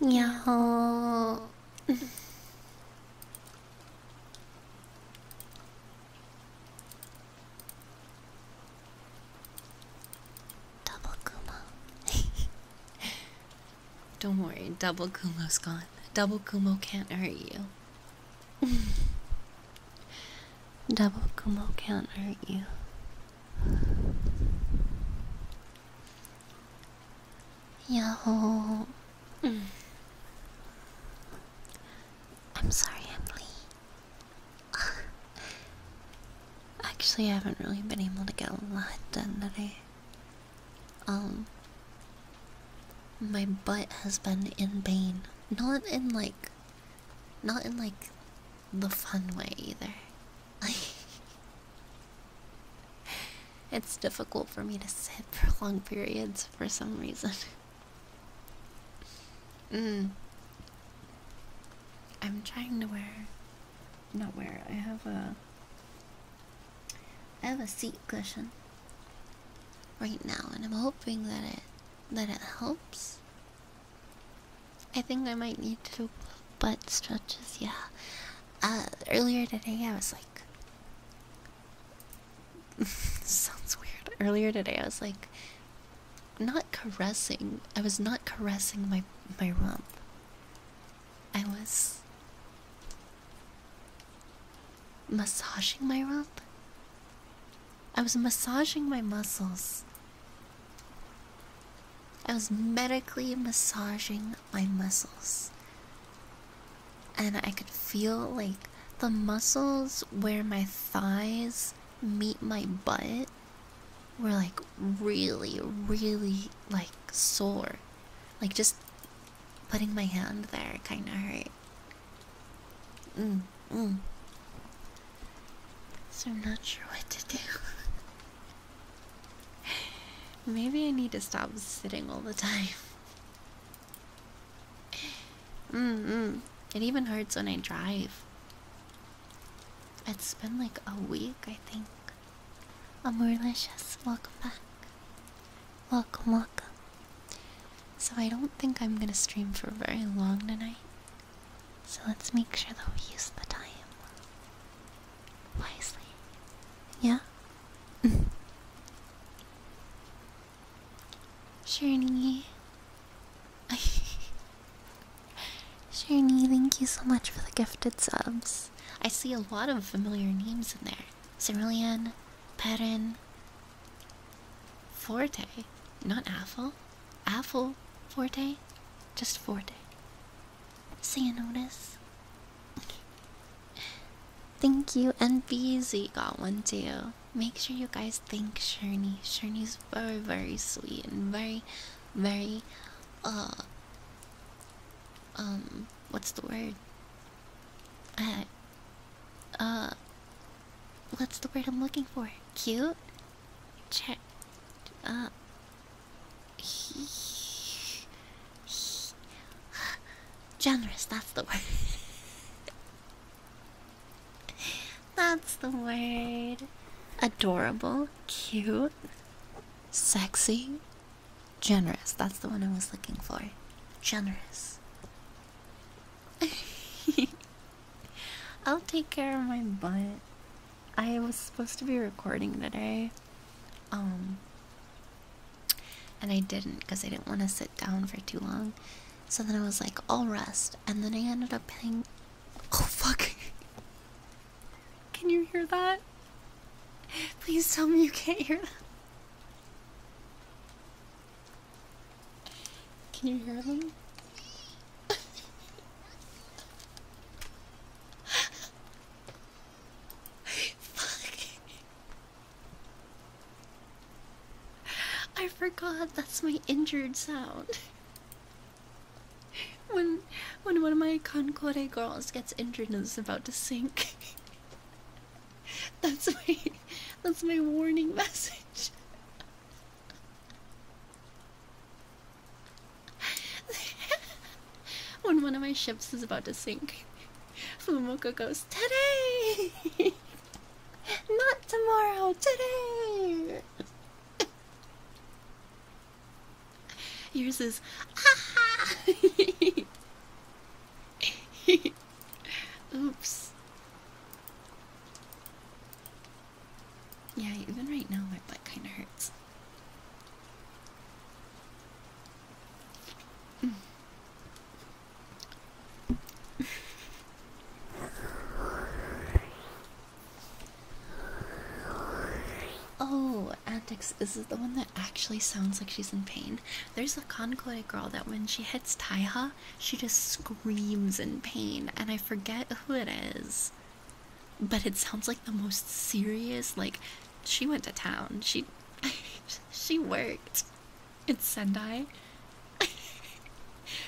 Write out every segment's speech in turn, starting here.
然后，double Kuma. Don't worry, double Kumo's gone. Double Kumo can't hurt you. double Kumo can't hurt you. Yo. Mm. I'm sorry, Emily. Actually, I haven't really been able to get a lot done today. Um, my butt has been in pain. Not in like, not in like the fun way either. It's difficult for me to sit for long periods for some reason. Mm. I'm trying to wear not wear, I have a I have a seat cushion right now and I'm hoping that it that it helps. I think I might need to butt stretches, yeah. Uh, earlier today I was like, sounds weird. Earlier today I was like, not caressing. I was not caressing my my rump. I was massaging my rump. I was massaging my muscles. I was medically massaging my muscles. And I could feel like the muscles where my thighs meet my butt were like really, really like sore. Like just putting my hand there kind of hurt. Mm, mm. So I'm not sure what to do. Maybe I need to stop sitting all the time. Mm It even hurts when I drive. It's been like a week, I think. Amorlicious, welcome back. Welcome, welcome. So I don't think I'm gonna stream for very long tonight. So let's make sure that we use the time wisely. Yeah? Shirney. Shirney, thank you so much for the gifted subs. I see a lot of familiar names in there. Cerulean, Perrin, Forte. Not Affle. Affle, Forte. Just Forte. So you notice? Thank you, and BZ got one too. Make sure you guys thank Shirney. Shirney's very, very sweet and very, very, uh, um, what's the word? Uh, uh, what's the word I'm looking for? Cute? Check, uh, Generous, that's the word. that's the word. Adorable, cute, sexy, generous. That's the one I was looking for. Generous. I'll take care of my butt. I was supposed to be recording today, um, and I didn't because I didn't want to sit down for too long. So then I was like, I'll rest, and then I ended up being. Oh fuck! Can you hear that? Please tell me you can't hear that. Can you hear them? Fuck. I forgot that's my injured sound. When when one of my Concorde girls gets injured and is about to sink. That's my that's my warning message. when one of my ships is about to sink, Momoko goes, Today! Not tomorrow, today! Yours is, ah! Oops. Yeah, even right now my butt kind of hurts oh, Antics, this is the one that actually sounds like she's in pain. There's a Conclave girl that when she hits Taiha, she just screams in pain, and I forget who it is. But it sounds like the most serious, like she went to town. She she worked. It's Sendai.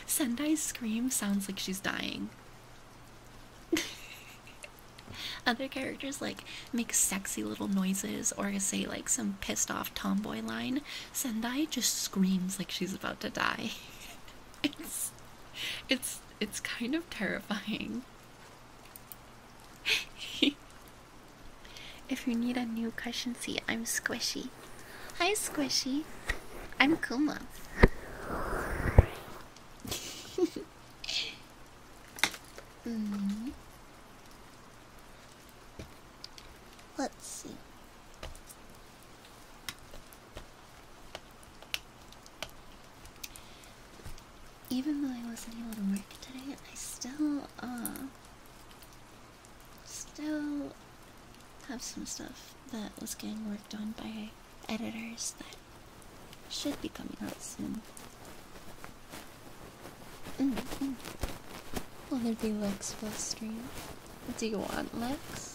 Sendai's scream sounds like she's dying. Other characters like make sexy little noises or say like some pissed off tomboy line. Sendai just screams like she's about to die. it's it's it's kind of terrifying. if you need a new cushion seat, I'm Squishy. Hi, Squishy. I'm Kuma. mm. Let's see even though I wasn't able to work today, I still, uh, still have some stuff that was getting worked on by editors that should be coming out soon. Mm -hmm. Will there be Lex for stream? Do you want Lex?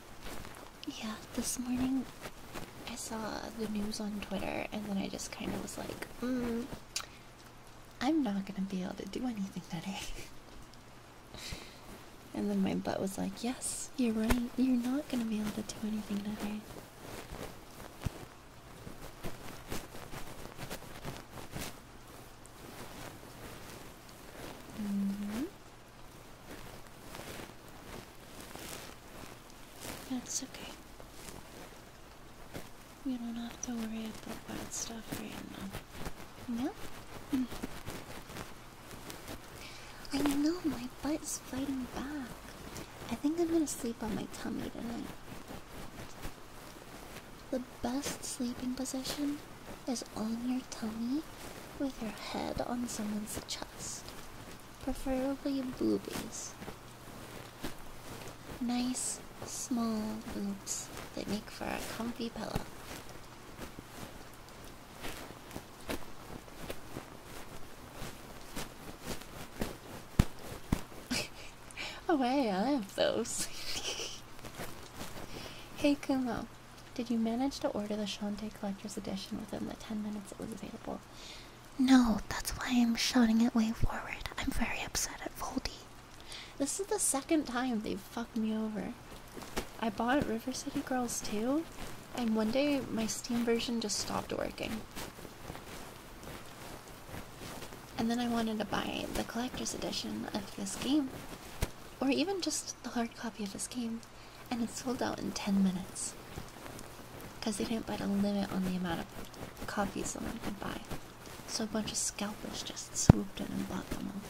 Yeah, this morning I saw the news on Twitter and then I just kind of was like, mm, I'm not gonna be able to do anything today. and then my butt was like, yes, you're right, you're not gonna be able to do anything today. Mm that's okay. We don't have to worry about bad stuff right now. No? Mm. I know, my butt's fighting back. I think I'm gonna sleep on my tummy tonight. The best sleeping position is on your tummy with your head on someone's chest, preferably boobies. Nice small boobs that make for a comfy pillow. oh, hey, I have those. hey, Kumo. Did you manage to order the Shantae Collector's Edition within the 10 minutes it was available? No, that's why I'm shouting it way forward. I'm very upset at Voldy. This is the second time they've fucked me over. I bought River City Girls 2, and one day my Steam version just stopped working. And then I wanted to buy the collector's edition of this game. Or even just the hard copy of this game and it sold out in 10 minutes because they didn't put a limit on the amount of copies someone could buy. So a bunch of scalpers just swooped in and bought them all.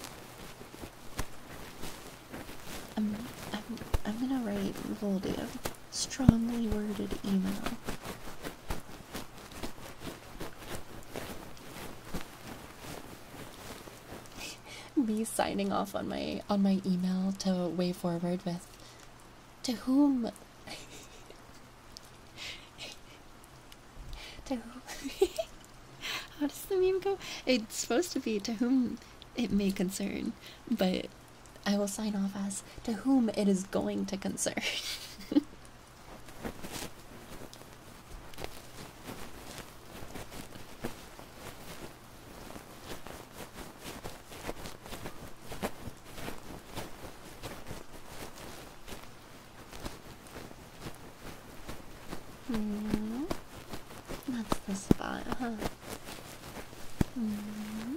I'm, I'm, I'm gonna write Voldy a strongly worded email. be signing off on my on my email to way forward with to whom to whom how does the meme go? It's supposed to be to whom it may concern, but I will sign off as to whom it is going to concern. Mm. That's the spot, huh? Mm.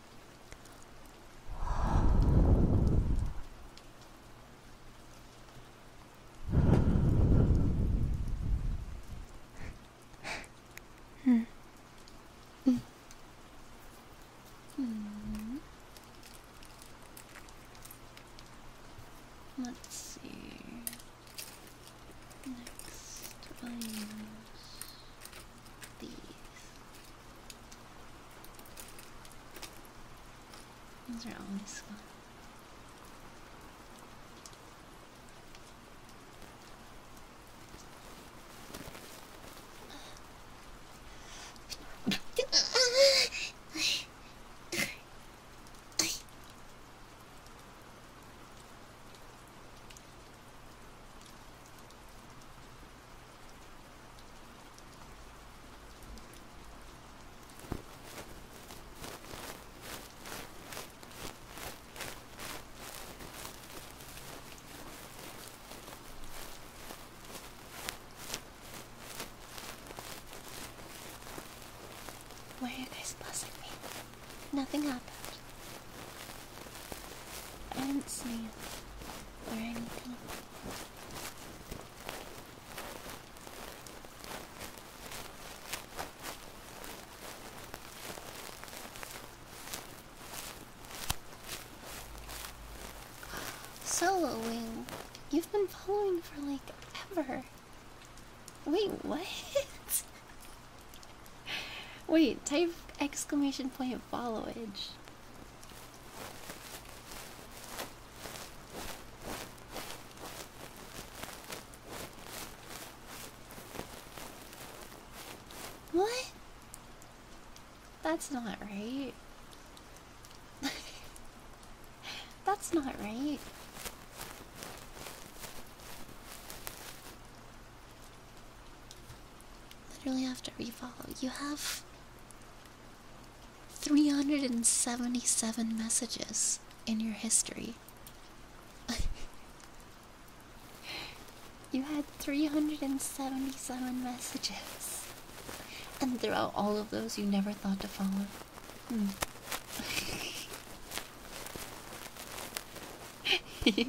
Hmm. Hmm. Hmm. Let's see. Next, I these. These are always fun. Why are you guys blessing me? Nothing happened. I didn't sneeze or anything. Solo Wing, you've been following for like ever. Wait, what? Wait, type exclamation point followage. What? That's not right. That's not right. Literally have to refollow. You have 377 messages in your history. you had 377 messages. And throughout all of those, you never thought to follow. Hmm.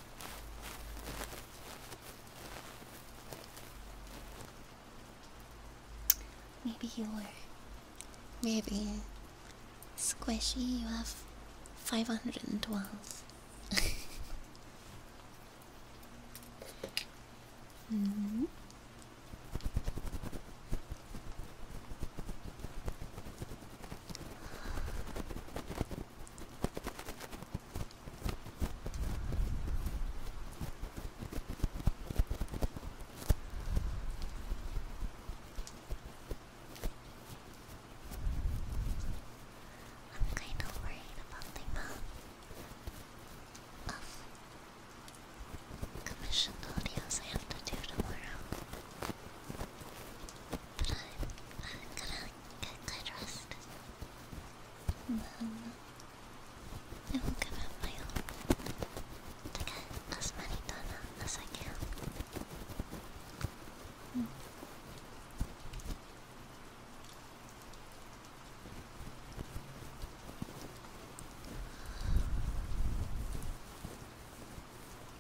Maybe you are. Maybe. Squishy, you have 512. -hmm. I'm kind of worried about the amount of commissioned audios I have to do tomorrow. But I, am gonna get good And then I will give up my own to get as many done as I can.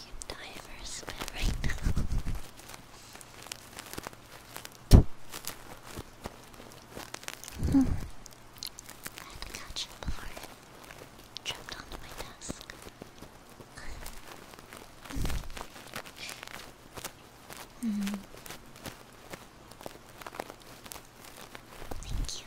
You divers right now. hmm. I had to catch it before it dropped onto my desk. mm. Thank you,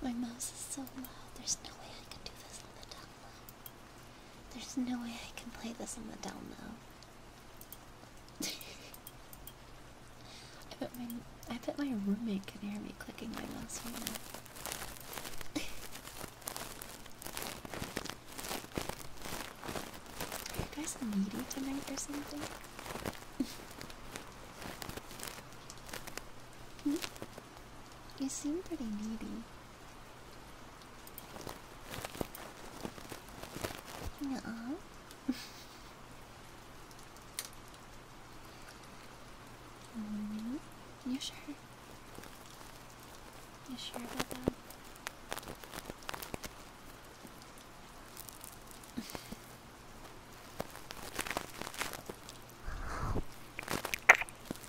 My mouse is so loud. My mouse is so loud. There's no way I can do this on the top. There's no way I can play this on the down low. I bet my I bet my roommate can hear me clicking my mouse right now. Are you guys needy tonight or something? Hmm? You seem pretty needy. Nuh -uh. Mm-hmm. you sure? You sure about that?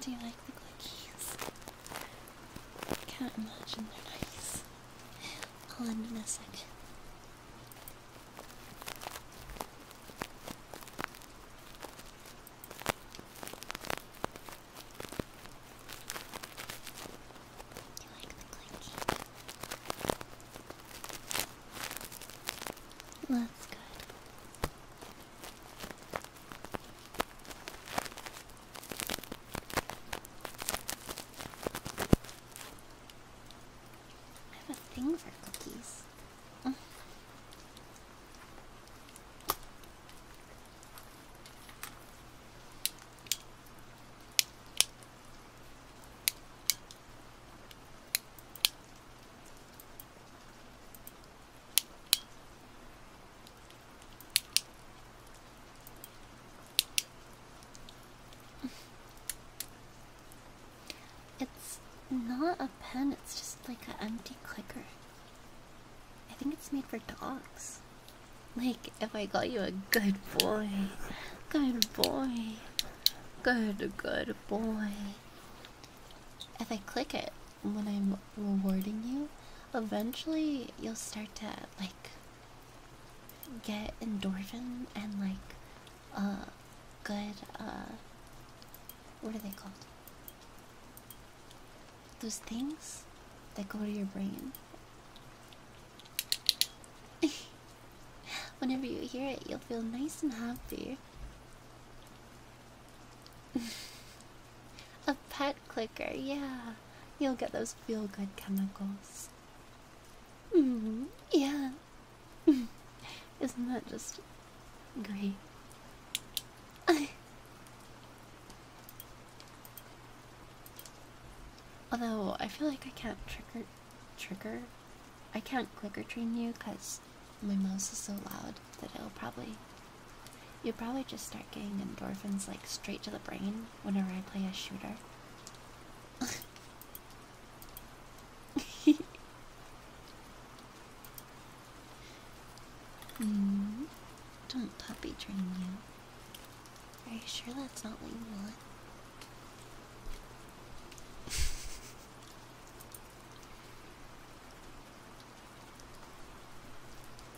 Do you like the clickies? I can't imagine they're nice. I'll end in a second. You like the clickies? That's good. I have a for cookies. It's not a pen, it's just like an empty clicker. I think it's made for dogs. Like, if I call you a good boy. Good boy. Good, good boy. If I click it when I'm rewarding you, eventually you'll start to like get endorphin and like uh good uh what are they called? Those things that go to your brain. Whenever you hear it, you'll feel nice and happy. A pet clicker, yeah. You'll get those feel good chemicals. -hmm. Yeah. Isn't that just great? Although I feel like I can't trigger trigger. I can't clicker train you because my mouse is so loud that it'll probably. You'll probably just start getting endorphins like straight to the brain whenever I play a shooter. Hmm. don't puppy train you. Are you sure that's not what you want?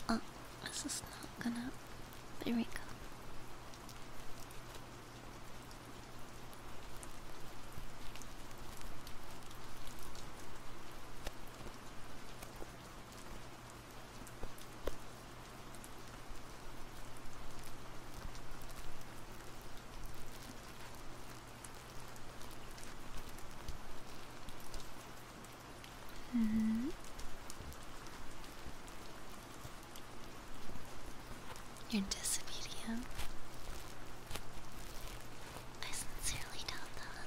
oh, this is not gonna. There we go. Mm-hmm. You're disobedient. I sincerely doubt that.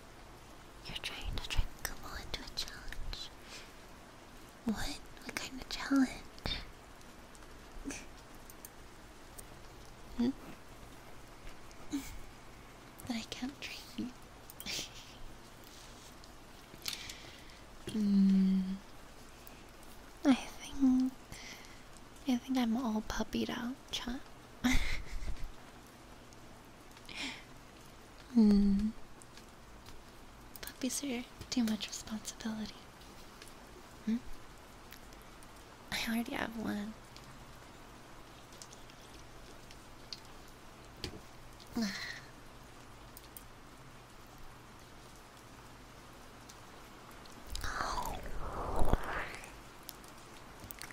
You're trying to trick Kumo into a challenge. What? What kind of challenge? hmm? I can't train. mm, I think I think I'm all puppied out, chat. hmm. Puppies are too much responsibility. I already have one.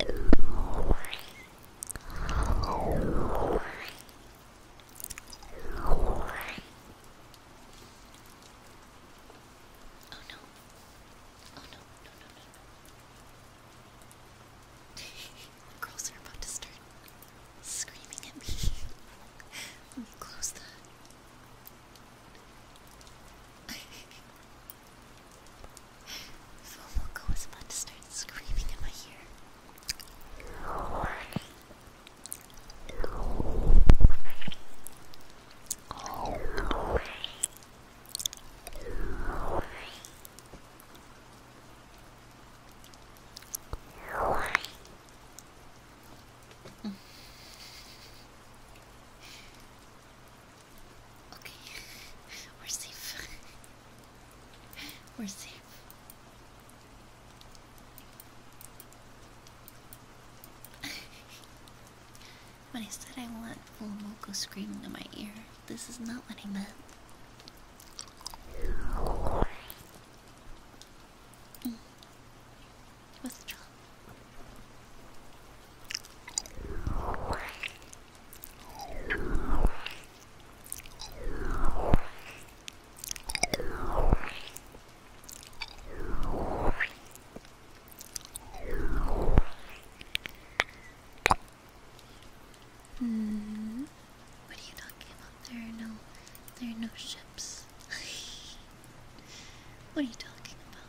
Oh no. Oh no, no, no, no, no. Girls are about to start screaming at me. Let me close that. Fomoko was about to start screaming in my ear. Okay, we're safe. we're safe. when I said I want full Moko screaming in my ear, this is not what I meant. Mm. What's the Hmm. What are you talking about? There are no, there are no ships. what are you talking about?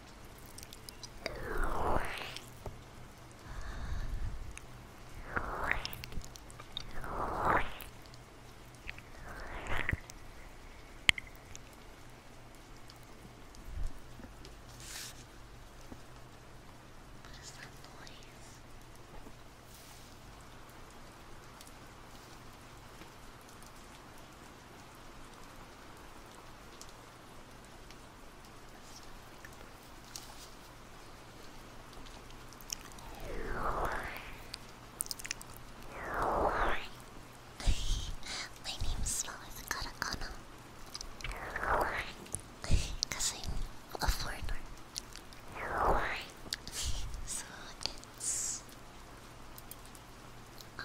What is that noise? What my name's spelled with katakana. Because I'm a foreigner. so it's. Um,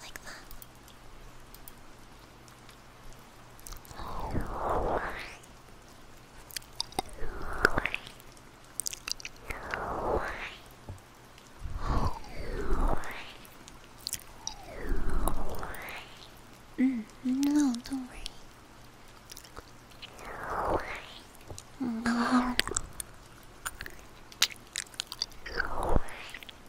like that. Mm, no, don't worry. No. Mm.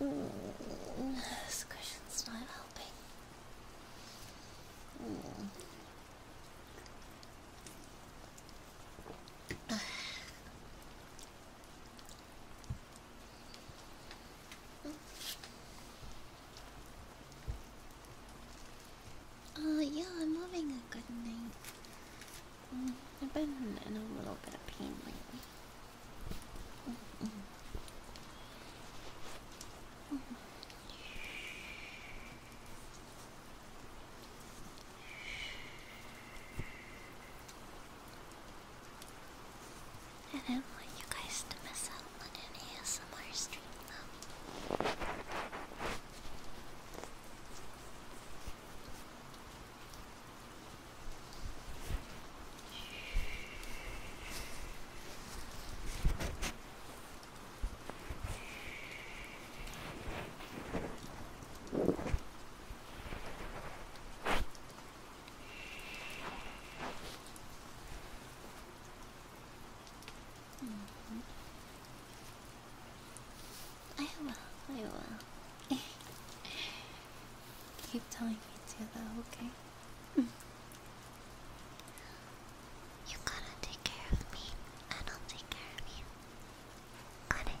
this uh, cushion's not helping. Mm. yeah, I'm having a good night. Mm, I've been in a little bit of pain lately. I want you guys to miss out on any ASMR stream I will, I will. Keep telling me to though, okay? You gotta take care of me, and I'll take care of you. Got it?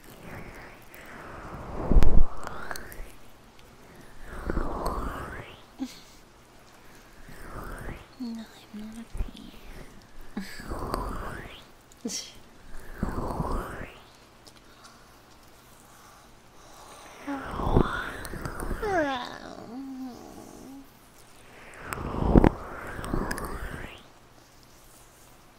no, I'm not afraid.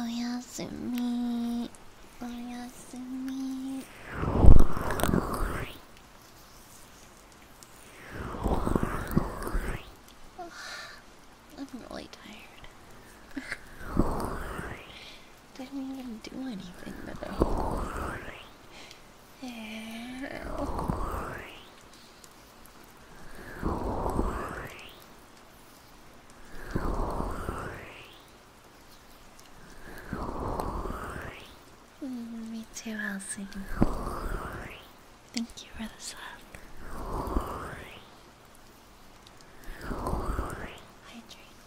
i am really tired. Didn't even do anything today. Mm, me too, Elsie. Thank you for the sub.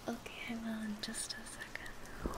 Okay, I will in just a second.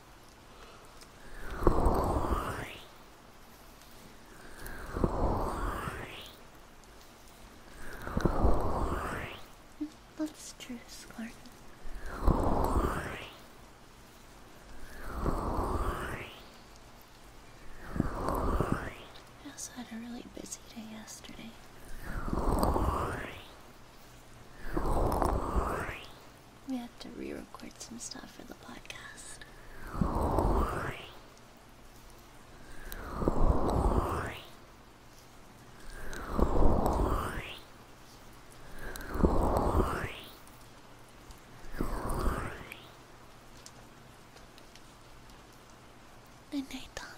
That's true, Scarlet. I also had a really busy day yesterday. We have to re record some stuff for the podcast. Good night, Tommy.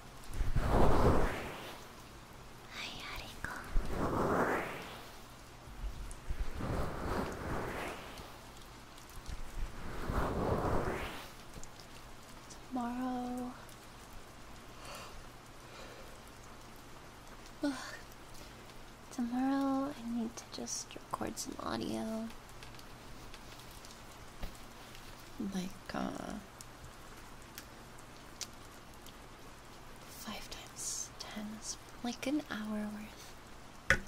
はいありこう tomorrow Tomorrow, I need to just record some audio like, uh, five times ten like an hour worth.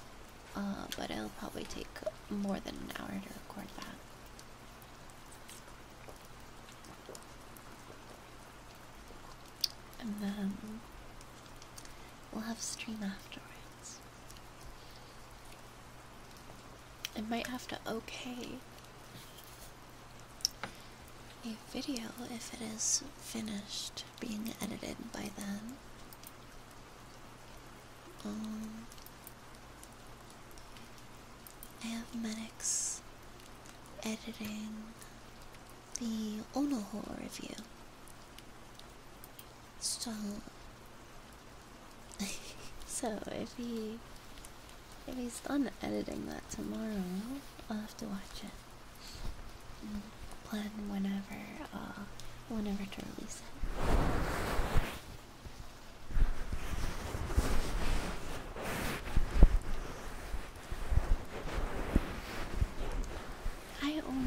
Uh, but it'll probably take more than an hour to record that. And then we'll have a stream afterwards. I might have to okay a video if it is finished being edited by then. Um, I have Medics editing the Onoho review. So so if he if he's done editing that tomorrow, I'll have to watch it. plan whenever uh whenever to release it. I own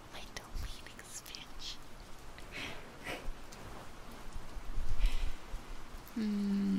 my domain expansion. mm.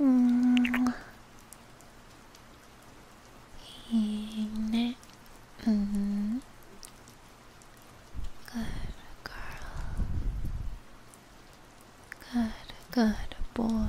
Mm-hmm. mm-hmm. Good girl. Good, good boy.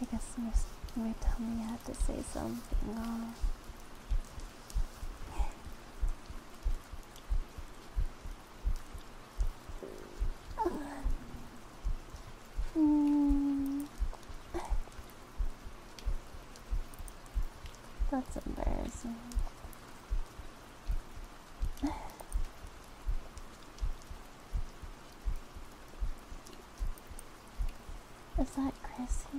I guess you're, you telling me I have to say something on that's embarrassing. Is that Chrissy?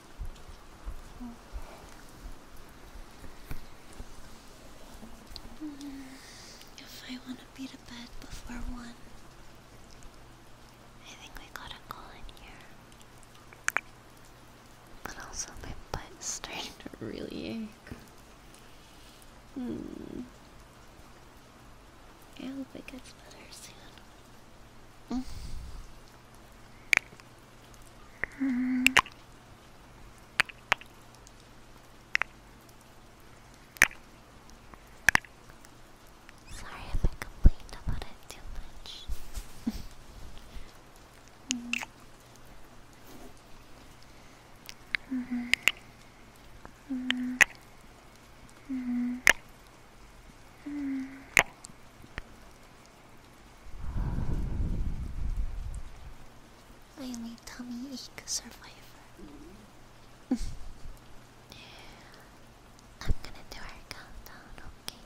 If I want to be to bed before one, I think we got a call in here. But also, my butt's starting to really ache. Hmm. I hope it gets better soon. Mm. Sorry if I complained about it too much. mm. Mm -hmm. Mm. I am a tummy ache survivor. I'm gonna do our countdown, okay?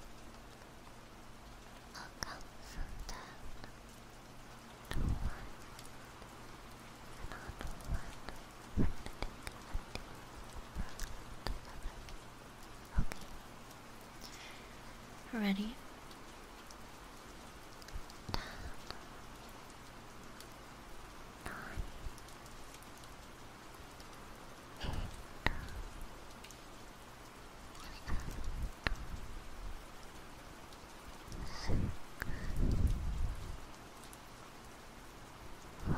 I'll count from ten to one. And on to take Okay? Ready? Ten, nine, eight, seven, six, five,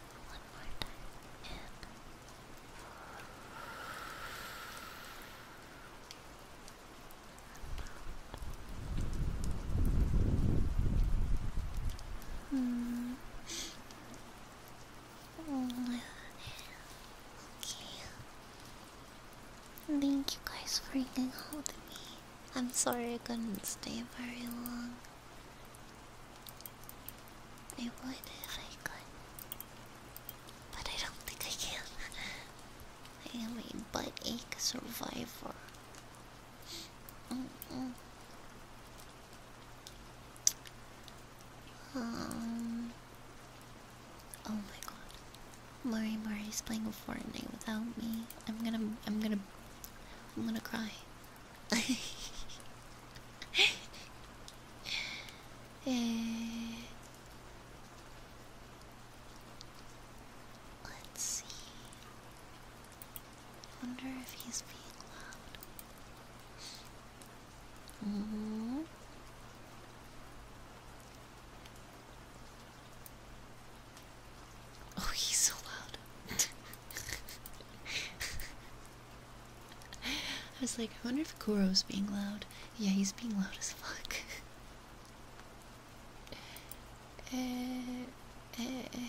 One more time. In. Hmm. Oh, okay. Thank you guys for holding me. I'm sorry I couldn't stay very long. I would if I could. But I don't think I can. I am a butt ache survivor. Um. Oh my god, Mari Mari's playing Fortnite without me. I'm gonna, I'm gonna, I'm gonna cry. えー、let's eh, see. Wonder if he's being loud. Mm-hmm. Oh, he's so loud. I was like, I wonder if Kuro's being loud. Yeah, he's being loud as fuck. Eh, eh, eh.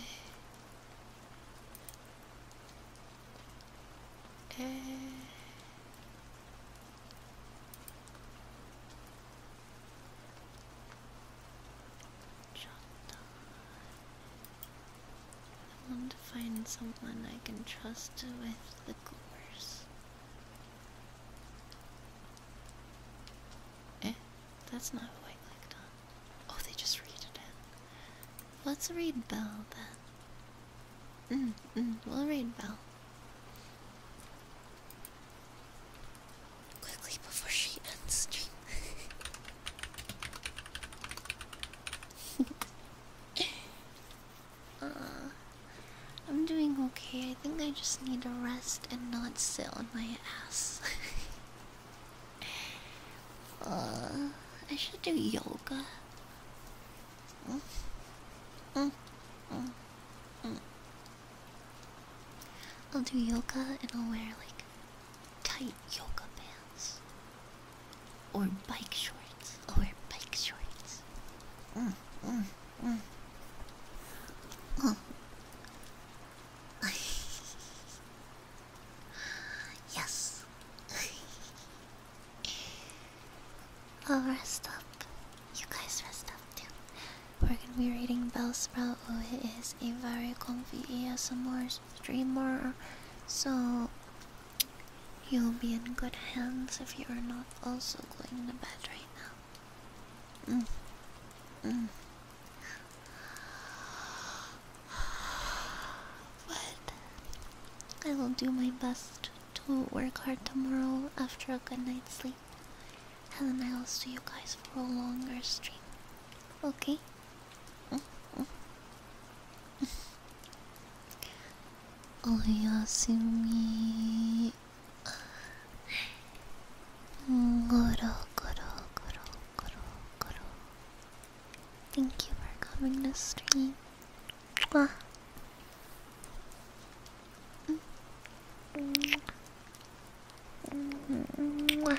I want to find someone I can trust with the course. Eh, that's not who I clicked on. Oh, they just read it Let's read Belle then. Mm, mm, we'll read Belle. Quickly before she ends stream. Uh, I'm doing okay. I think I just need to rest and not sit on my ass. Uh, I should do yoga. Mm, mm, mm, I'll do yoga and I'll wear like tight yoga pants or bike shorts or bike shorts. Mm, mm, mm. Oh. yes. I'll rest up. You guys rest up too. We're gonna be reading Bellsprout, who is a very comfy ASMR streamer. So You'll be in good hands if you are not also going to bed right now. Mm. Mm. But I will do my best to work hard tomorrow after a good night's sleep. And then I'll see you guys for a longer stream. Okay? おやすみゴロゴロゴロゴロゴロ Thank you for coming to stream. Mwah.